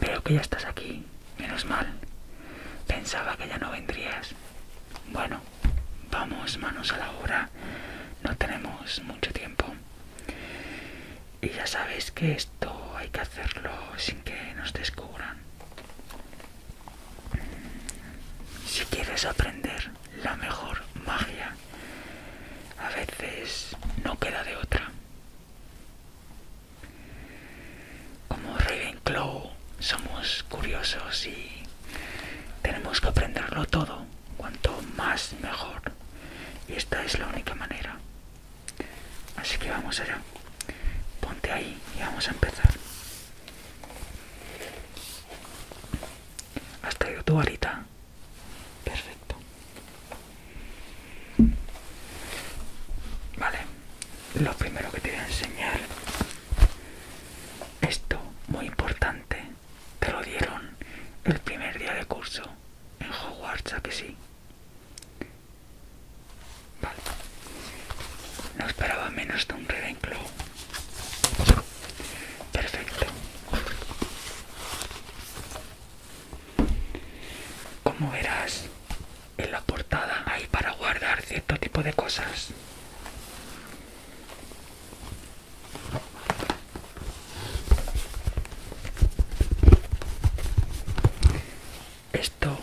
Veo que ya estás aquí, menos mal. Pensaba que ya no vendrías. Bueno, vamos manos a la obra. No tenemos mucho tiempo. Y ya sabes que esto hay que hacerlo sin que nos descubran. Si quieres aprender la mejor magia a veces no queda de otra. Como Ravenclaw somos curiosos y tenemos que aprenderlo todo, cuanto más mejor. Y esta es la única manera. Así que vamos allá. Ponte ahí y vamos a empezar. ¿Has traído tu varita? Perfecto. Vale, lo primero que te voy a enseñar, esto muy importante, te lo dieron el primer día de curso en Hogwarts, ¿a que sí? Vale, no esperaba menos de un Ravenclaw. Perfecto. Como verás, en la portada hay para guardar cierto tipo de cosas. Esto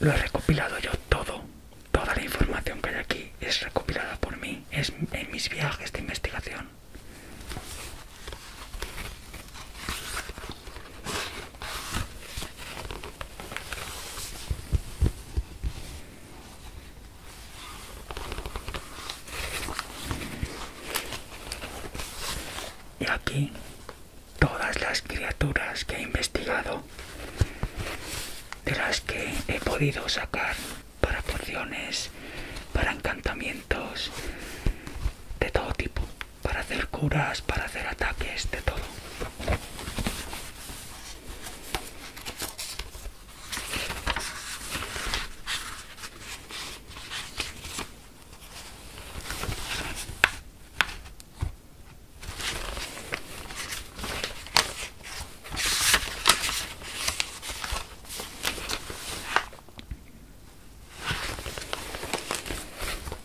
lo he recopilado yo todo. Toda la información que hay aquí es recopilada por mí, es en mis viajes de investigación y aquí todas las criaturas que he investigado de las que he podido sacar para porciones, para encantamientos, de todo tipo, para hacer curas, para hacer ataques, de todo.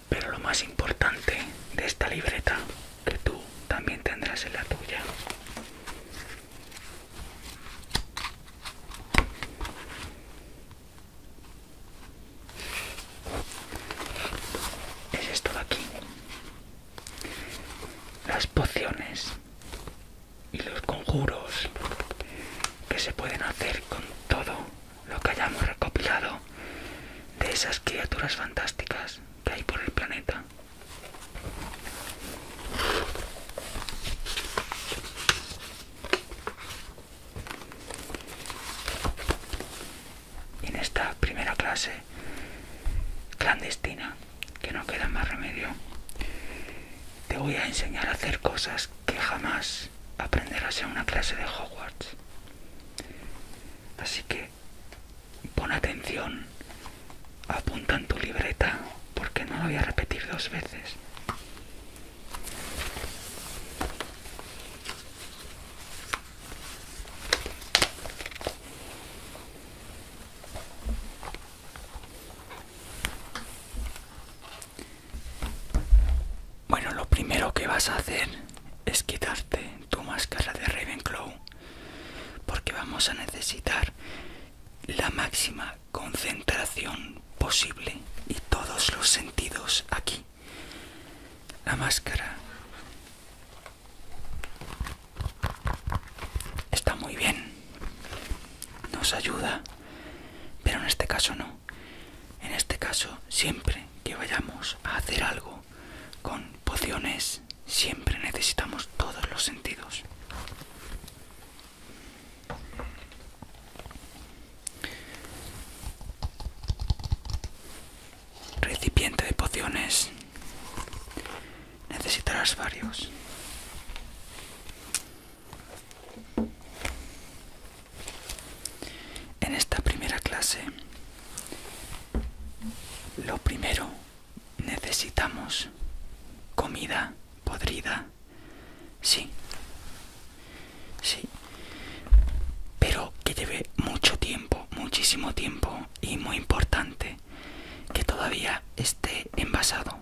Pero lo más importante de esta libreta, que tú también tendrás en la tuya, es esto de aquí. Las pociones y los conjuros que se pueden hacer con todo lo que hayamos recopilado de esas criaturas fantásticas que hay por el planeta. En esta primera clase clandestina que no queda más remedio. Te voy a enseñar a hacer cosas que jamás aprenderás en una clase de Hogwarts. Así que pon atención, apunta en tu libreta, porque no lo voy a repetir dos veces. Bueno, lo primero que vas a hacer es quitarte tu máscara de Ravenclaw porque vamos a necesitar la máxima concentración posible y todos los sentidos aquí. La máscara Está muy bien. Nos ayuda. Pero en este caso no. En este caso, siempre que vayamos a hacer algo con pociones, siempre necesitamos todos los sentidos. Recipiente de pociones necesitarás varios. En esta primera clase, lo primero, necesitamos comida podrida. Sí, sí, pero que lleve mucho tiempo, muchísimo tiempo y muy importante que todavía esté envasado,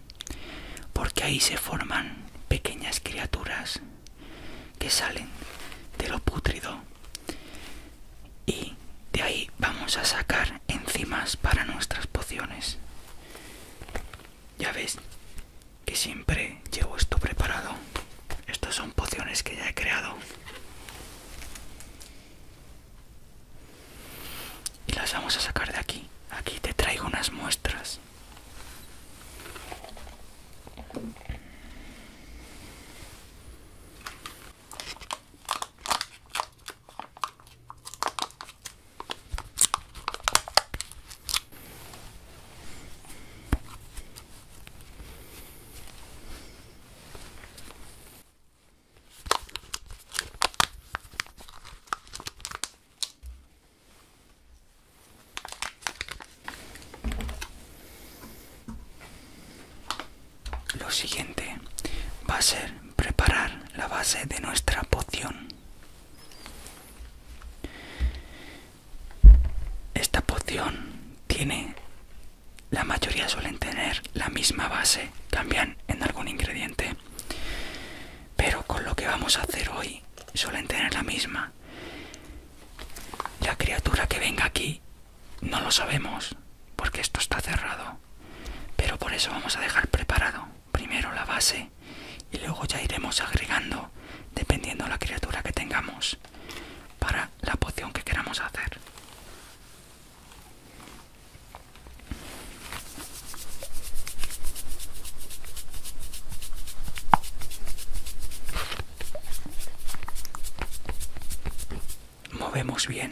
porque ahí se forman pequeñas criaturas que salen de lo pútrido y de ahí vamos a sacar enzimas para nuestras pociones. Ya ves que siempre llevo esto preparado. Estas son pociones que ya he creado y las vamos a sacar de aquí aquí te traigo unas muestras lo siguiente va a ser preparar la base de nuestra poción. Esta poción tiene, la mayoría suelen tener la misma base, cambian en algún ingrediente. Pero con lo que vamos a hacer hoy suelen tener la misma. La criatura que venga aquí no lo sabemos porque esto está cerrado. Pero por eso vamos a dejar preparado primero la base y luego ya iremos agregando dependiendo la criatura que tengamos para la poción que queramos hacer. Movemos bien.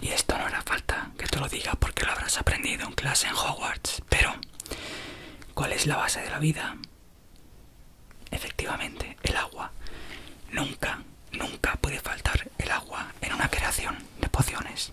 Y esto no hará falta que te lo diga porque lo habrás aprendido en clase en Hogwarts. Pero, ¿cuál es la base de la vida? Efectivamente, el agua. Nunca, nunca puede faltar el agua en una creación de pociones.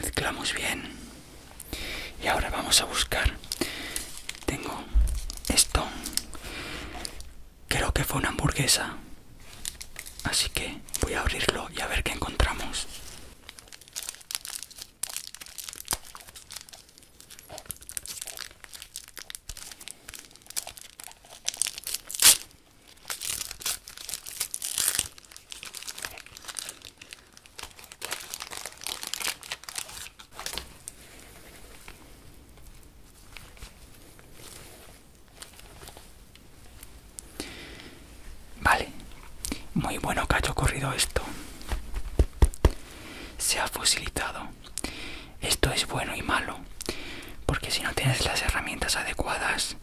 Mezclamos bien y ahora vamos a buscar tengo esto. Creo que fue una hamburguesa. Así que voy a abrirlo y a ver qué encontramos. Vale, muy bueno que haya ocurrido esto. Se ha fosilizado Esto es bueno y malo, porque si no tienes las herramientas adecuadas,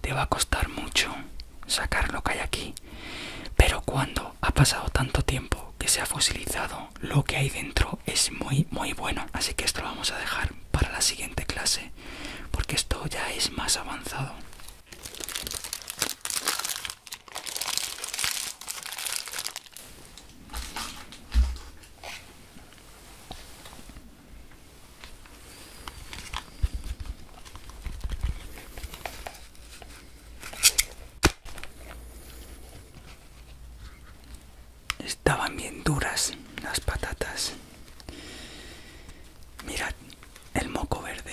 te va a costar mucho sacar lo que hay aquí. Pero cuando ha pasado tanto tiempo que se ha fosilizado lo que hay dentro es muy muy bueno así que esto lo vamos a dejar para la siguiente clase porque esto ya es más avanzado Estaban bien duras las patatas. Mirad el moco verde.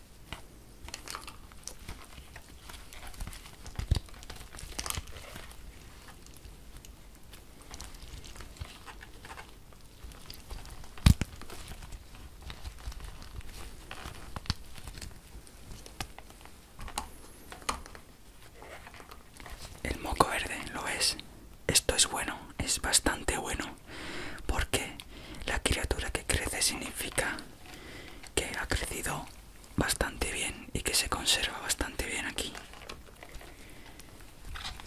El moco verde lo es. Esto es bueno, es bastante bueno, porque la criatura que crece significa que ha crecido bastante bien y que se conserva bastante bien aquí.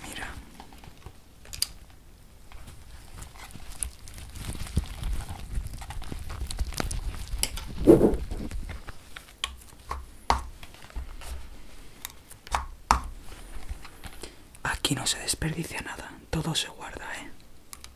Mira. Aquí no se desperdicia nada, todo se guarda, ¿eh?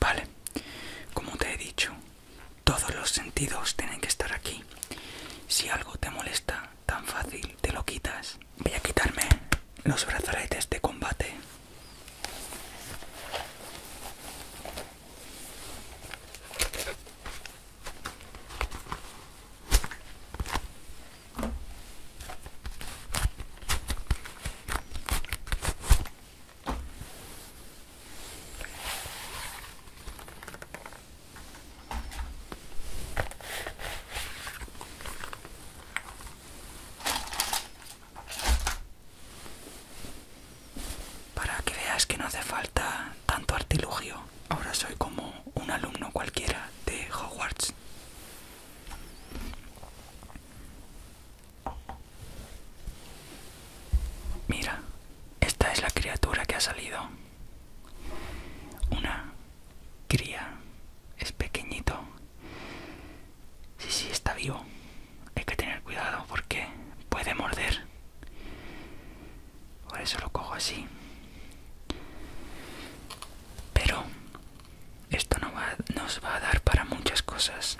Vale, como te he dicho, todos los sentidos tienen que estar aquí. Si algo te molesta, tan fácil te lo quitas Voy a quitarme los brazaletes de combate. Para que veas que no hace falta tanto artilugio. Ahora soy como un alumno cualquiera de Hogwarts. Mira, esta es la criatura que ha salido. Una cría. Es pequeñito Sí, sí, está vivo. Hay que tener cuidado porque puede morder. Por eso lo cojo así. Pero esto no va, nos va a dar para muchas cosas.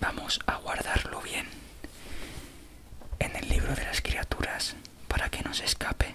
Vamos a guardarlo bien en el libro de las criaturas para que no se escape.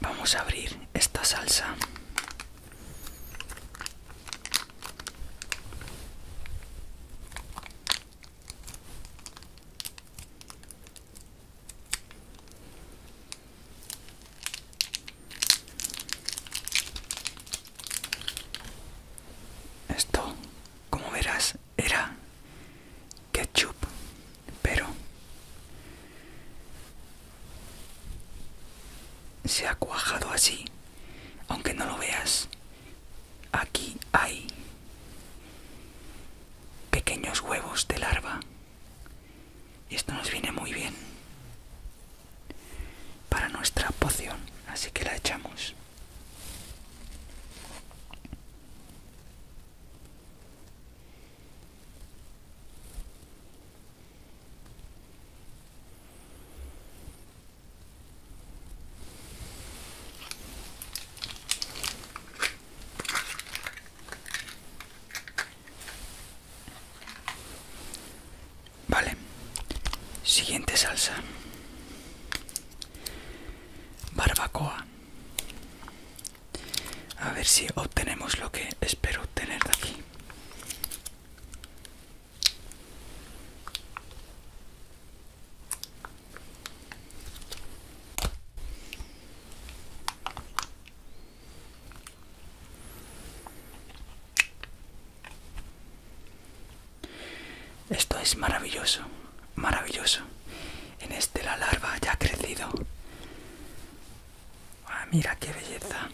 Vamos a abrir esta salsa. Esto, como verás, era ketchup, pero se ha cuajado así, aunque no lo veas. Aquí hay pequeños huevos de larva y esto nos viene muy bien para nuestra poción así que la echamos Vale, siguiente salsa. Barbacoa. A ver si obtenemos lo que espero obtener de aquí. Esto es maravilloso, maravilloso. En este la larva ya ha crecido. Ah, mira qué belleza.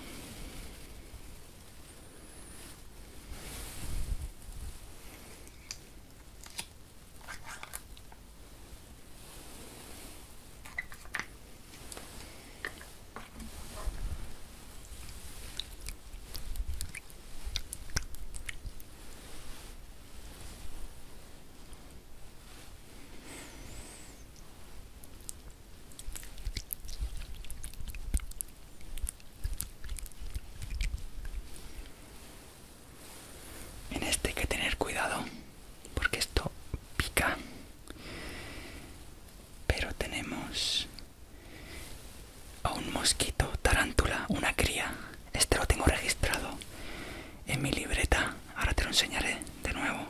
En este hay que tener cuidado porque esto pica pero tenemos a un mosquito tarántula una cría este lo tengo registrado en mi libreta ahora te lo enseñaré de nuevo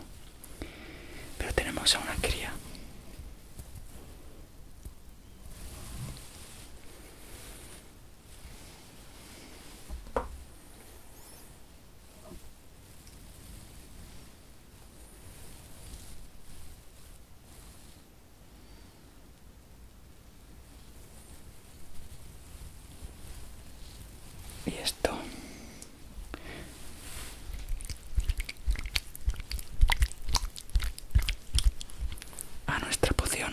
pero tenemos a una cría y esto a nuestra poción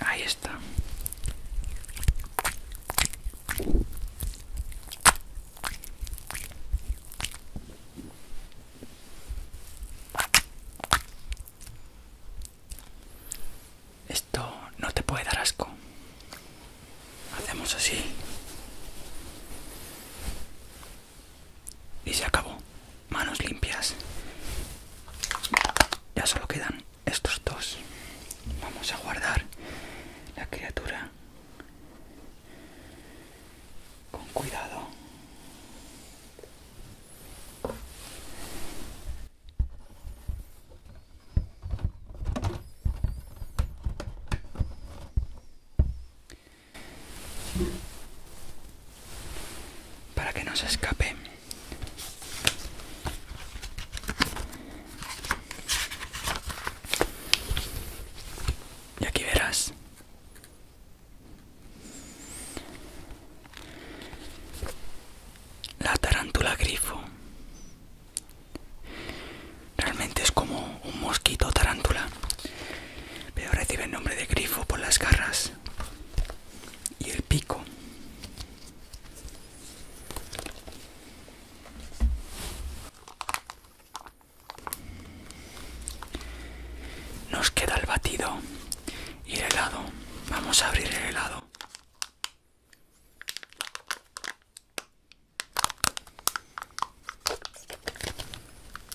Ahí está. Esto no te puede dar asco. Hacemos así. Y se acabó manos limpias ya solo quedan estos dos vamos a guardar la criatura con cuidado para que no se escape y aquí verás la tarántula grifo realmente es como un mosquito tarántula pero recibe el nombre de grifo por las garras y el pico nos queda el batido y el helado vamos a abrir el helado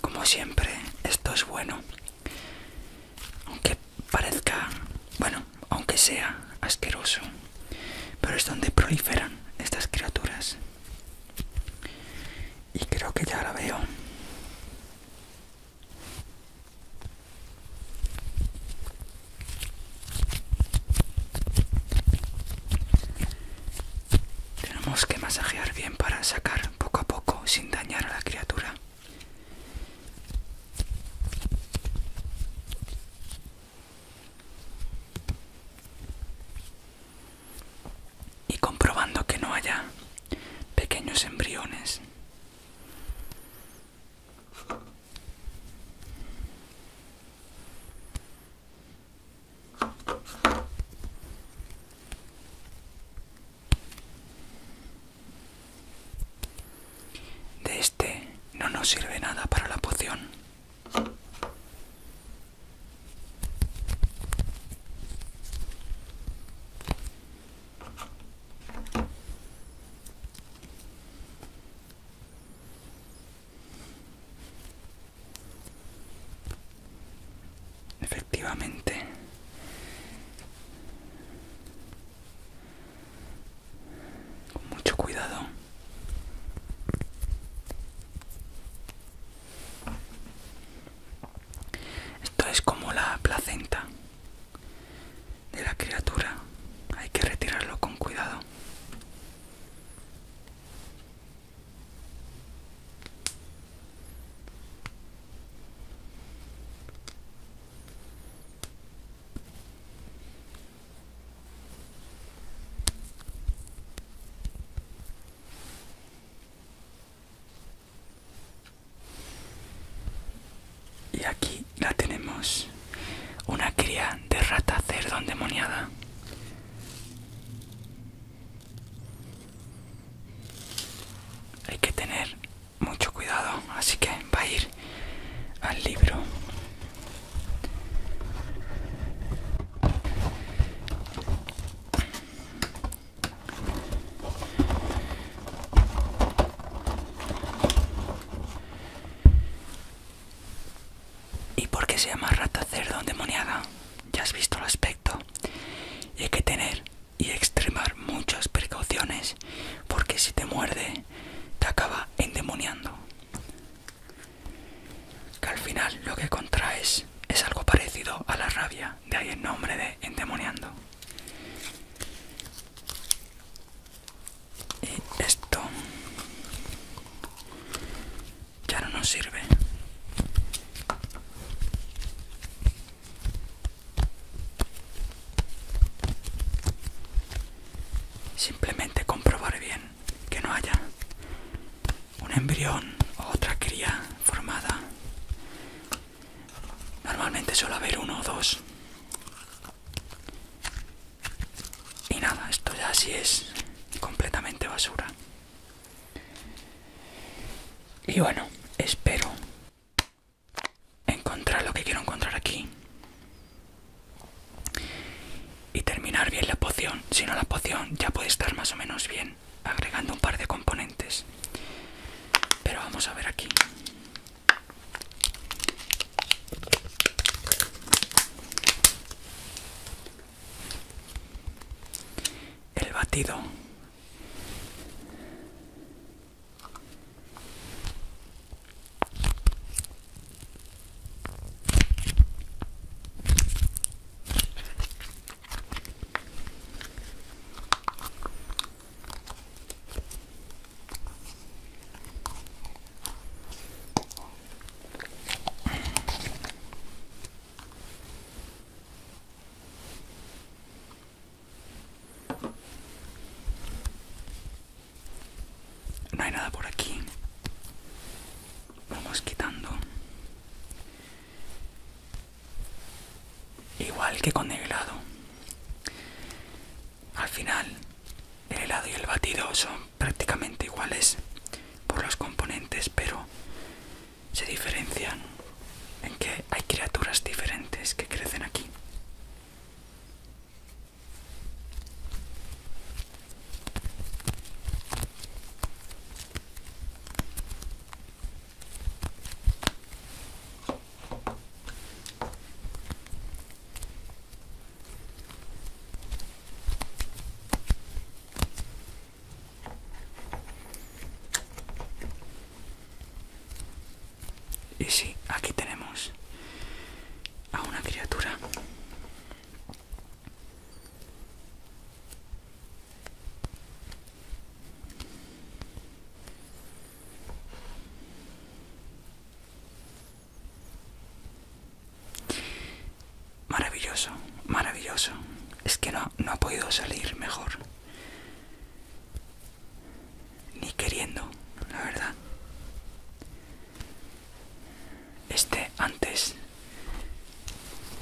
Como siempre, esto es bueno. Aunque parezca, bueno, aunque sea asqueroso. Pero es donde proliferan estas criaturas. Y creo que ya la veo. Tenemos que masajear bien para sacar poco a poco sin dañar a la criatura. Y comprobando que no haya pequeños embriones. De este no nos sirve nada para la poción. Efectivamente. Con mucho cuidado. Esto es como la placenta de la criatura. Hay que retirarlo con cuidado y aquí la tenemos una cría de rata cerdón demoniada hay que tener mucho cuidado así que va a ir al libro ¿Y por qué se llama rata cerdo endemoniada? Ya has visto el aspecto. Y hay que tener y extremar muchas precauciones porque si te muerde te acaba endemoniando. Que al final lo que contraes es algo parecido a la rabia, de ahí el nombre de endemoniando y esto ya no nos sirve simplemente comprobar bien que no haya un embrión o otra cría formada normalmente suele haber uno o dos y nada, esto ya sí es completamente basura. Y bueno, espero encontrar lo que quiero encontrar aquí. Y terminar bien la poción. Si no, la poción ya puede estar más o menos bien, agregando un par de componentes. Pero vamos a ver aquí. El batido. No hay nada por aquí. Vamos quitando. Igual que con el helado. Al final, el helado y el batido son prácticamente iguales por los componentes, pero se diferencian en que hay criaturas diferentes que crecen aquí. Y sí, aquí tenemos a una criatura Maravilloso, maravilloso. Es que no, ha podido salir mejor. Ni queriendo, la verdad. Este antes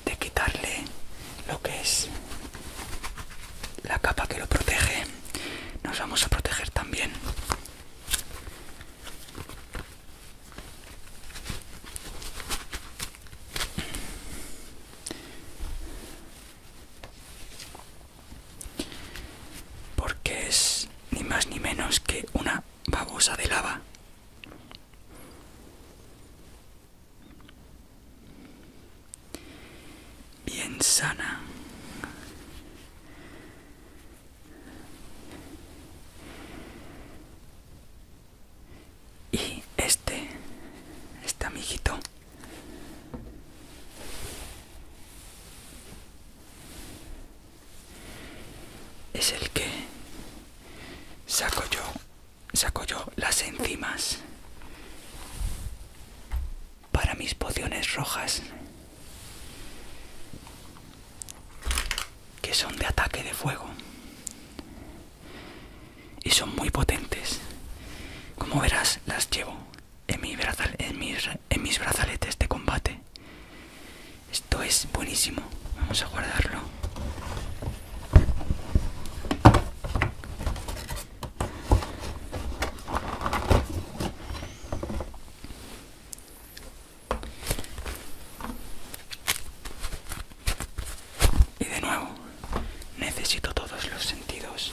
de quitarle lo que es la capa que lo protege, nos vamos a proteger también porque es ni más ni menos que una babosa de lava bien sana y este, este amiguito. Es el que saco yo, saco yo las enzimas para mis pociones rojas que son de ataque de fuego y son muy potentes como verás las llevo en, en, en mis brazaletes de combate esto es buenísimo vamos a guardarlo y de nuevo, necesito todos los sentidos.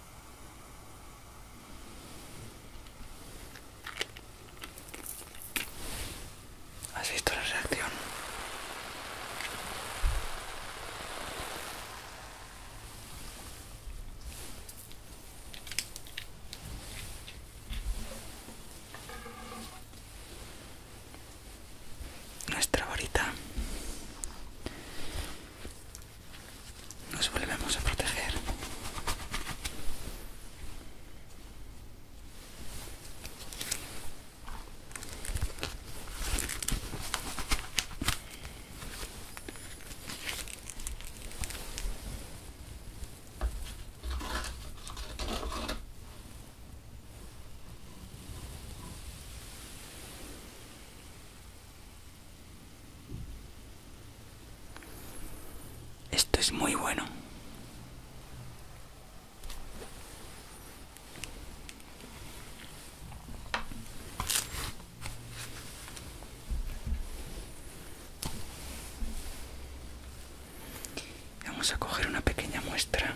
¿Has visto la reacción? Nuestra varita nos volvemos a proteger esto es muy bueno. Vamos a coger una pequeña muestra.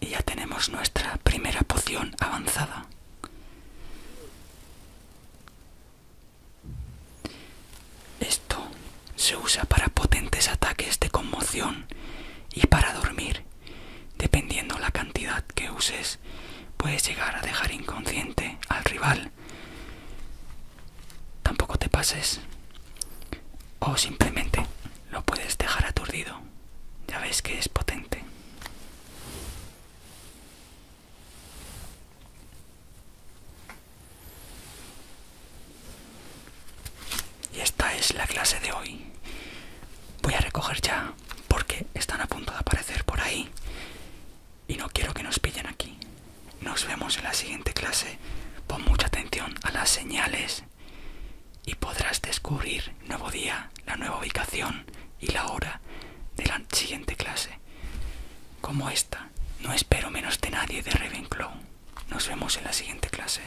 Y ya tenemos nuestra primera poción avanzada. Esto se usa para potentes ataques de conmoción y para dormir. Dependiendo la cantidad que uses, puedes llegar a dejar inconsciente al rival Tampoco te pases. O simplemente lo puedes dejar aturdido. Ya ves que es potente. Y esta es la clase de hoy. Voy a recoger ya porque están a punto de aparecer por ahí y no quiero que nos pillen aquí. Nos vemos en la siguiente clase. Pon mucha atención a las señales y podrás descubrir nuevo día, la nueva ubicación y la hora de la siguiente clase. Como esta, no espero menos de nadie de Ravenclaw. Nos vemos en la siguiente clase.